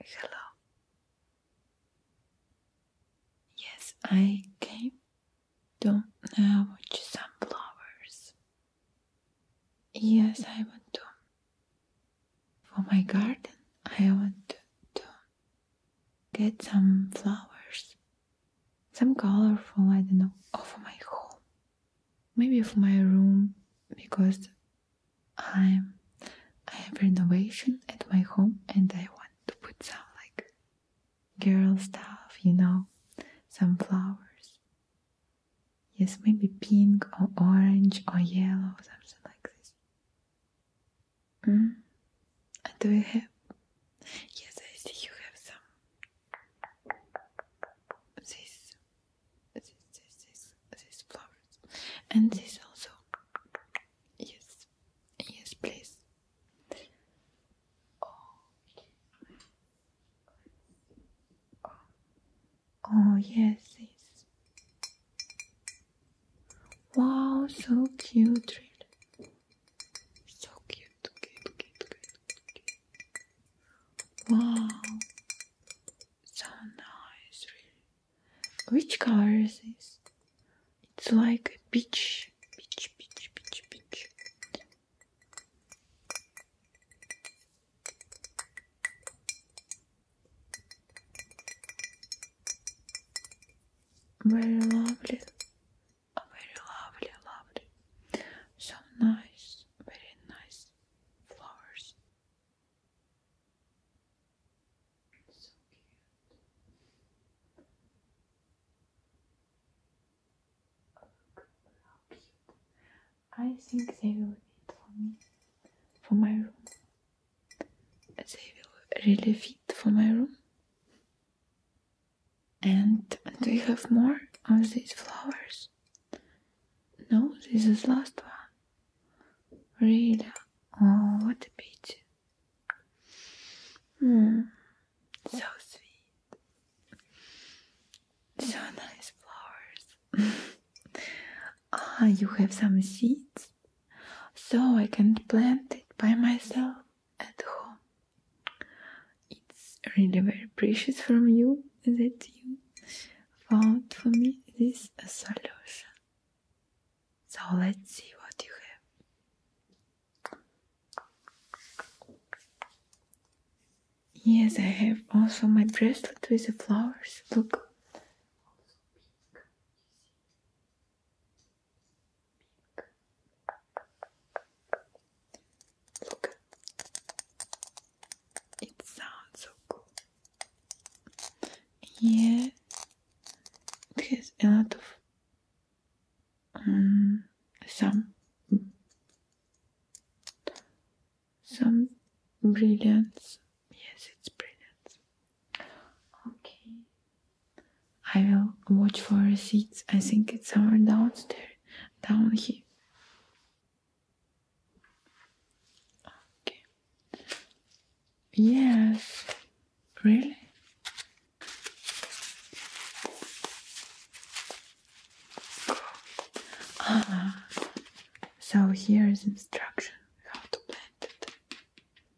Hello. Yes, I came Don't know what some flowers. Yes, I want to. For my garden, I want to, get some flowers. Some colorful, I don't know, or for my home. Maybe for my room, because I'm I have renovation at my home and I want to put some like girl stuff, you know, some flowers. Yes, maybe pink or orange or yellow, something like this. Hmm? do you have? Yes, I see you have some. This this, this, this, these flowers, and this also. Yes, yes, please. Oh. oh, oh yes, yes. Wow, so cute, really. So cute, cute, cute, cute, cute. Wow, so nice, really. Which color is this? It's like a peach, peach, peach, peach, peach. Very lovely, oh, very lovely, lovely. So nice very nice flowers. So cute. Look how cute. I think they will fit for me, for my room. They will really fit for my room. And do you have more of these flowers? No, this is last one. Really? Oh, what a beauty! Mm. So sweet. So nice flowers. ah, you have some seeds? So I can plant it by myself at home. It's really very precious from you that you found for me this solution. So let's see what you have. Yes, I have also my bracelet with the flowers. Look. Look, it sounds so cool. Yeah, it has a lot of um, some some brilliance. Yes, it's brilliant. Okay. I will watch for receipts. I think it's somewhere downstairs, down here. Okay. Yes. Really? Ah. So here is instruction how to plant it.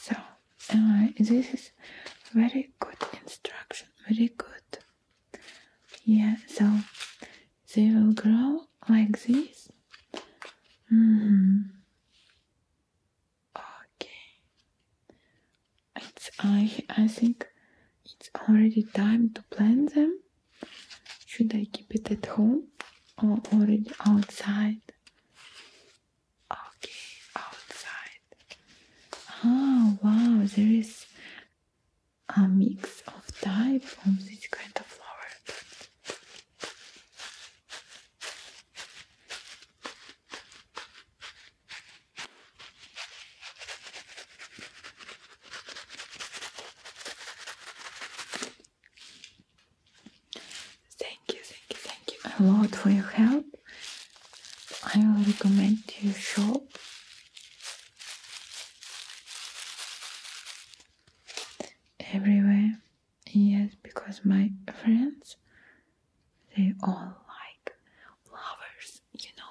So uh, this is very good instruction very good yeah so they will grow like this mm-hmm. okay it's i i think it's already time to plant them should i keep it at home or already outside Okay, outside. Oh wow, there is a mix of types of these kind of flowers. Thank you, thank you, thank you a lot for your help. I will recommend you shop. Everywhere, yes, because my friends they all like flowers. You know,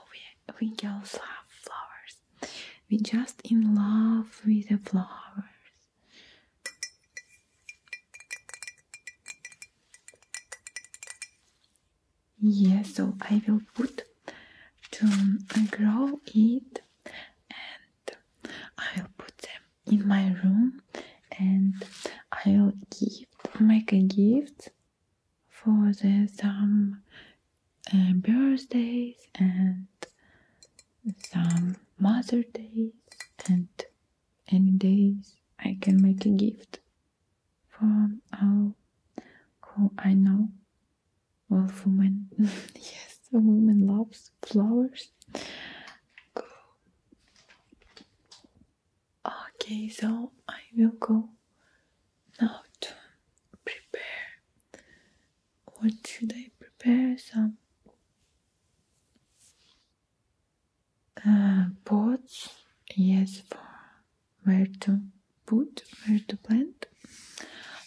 we we girls love flowers. We just in love with the flowers yeah, so I will put to um, grow it and I will put them in my room and I will give, make a gift for the, some uh, birthdays and some Mother Days and any days I can make a gift from all who I know. Well, for women, yes, a woman loves flowers. Go. Okay, so I will go now to prepare what should I prepare? Some uh, pots, yes, for where to put, where to plant.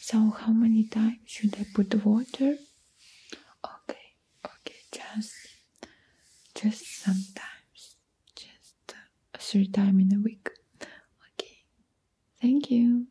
So, how many times should I put water? Okay, okay, just, just sometimes, just uh, three times in a week. Okay, thank you.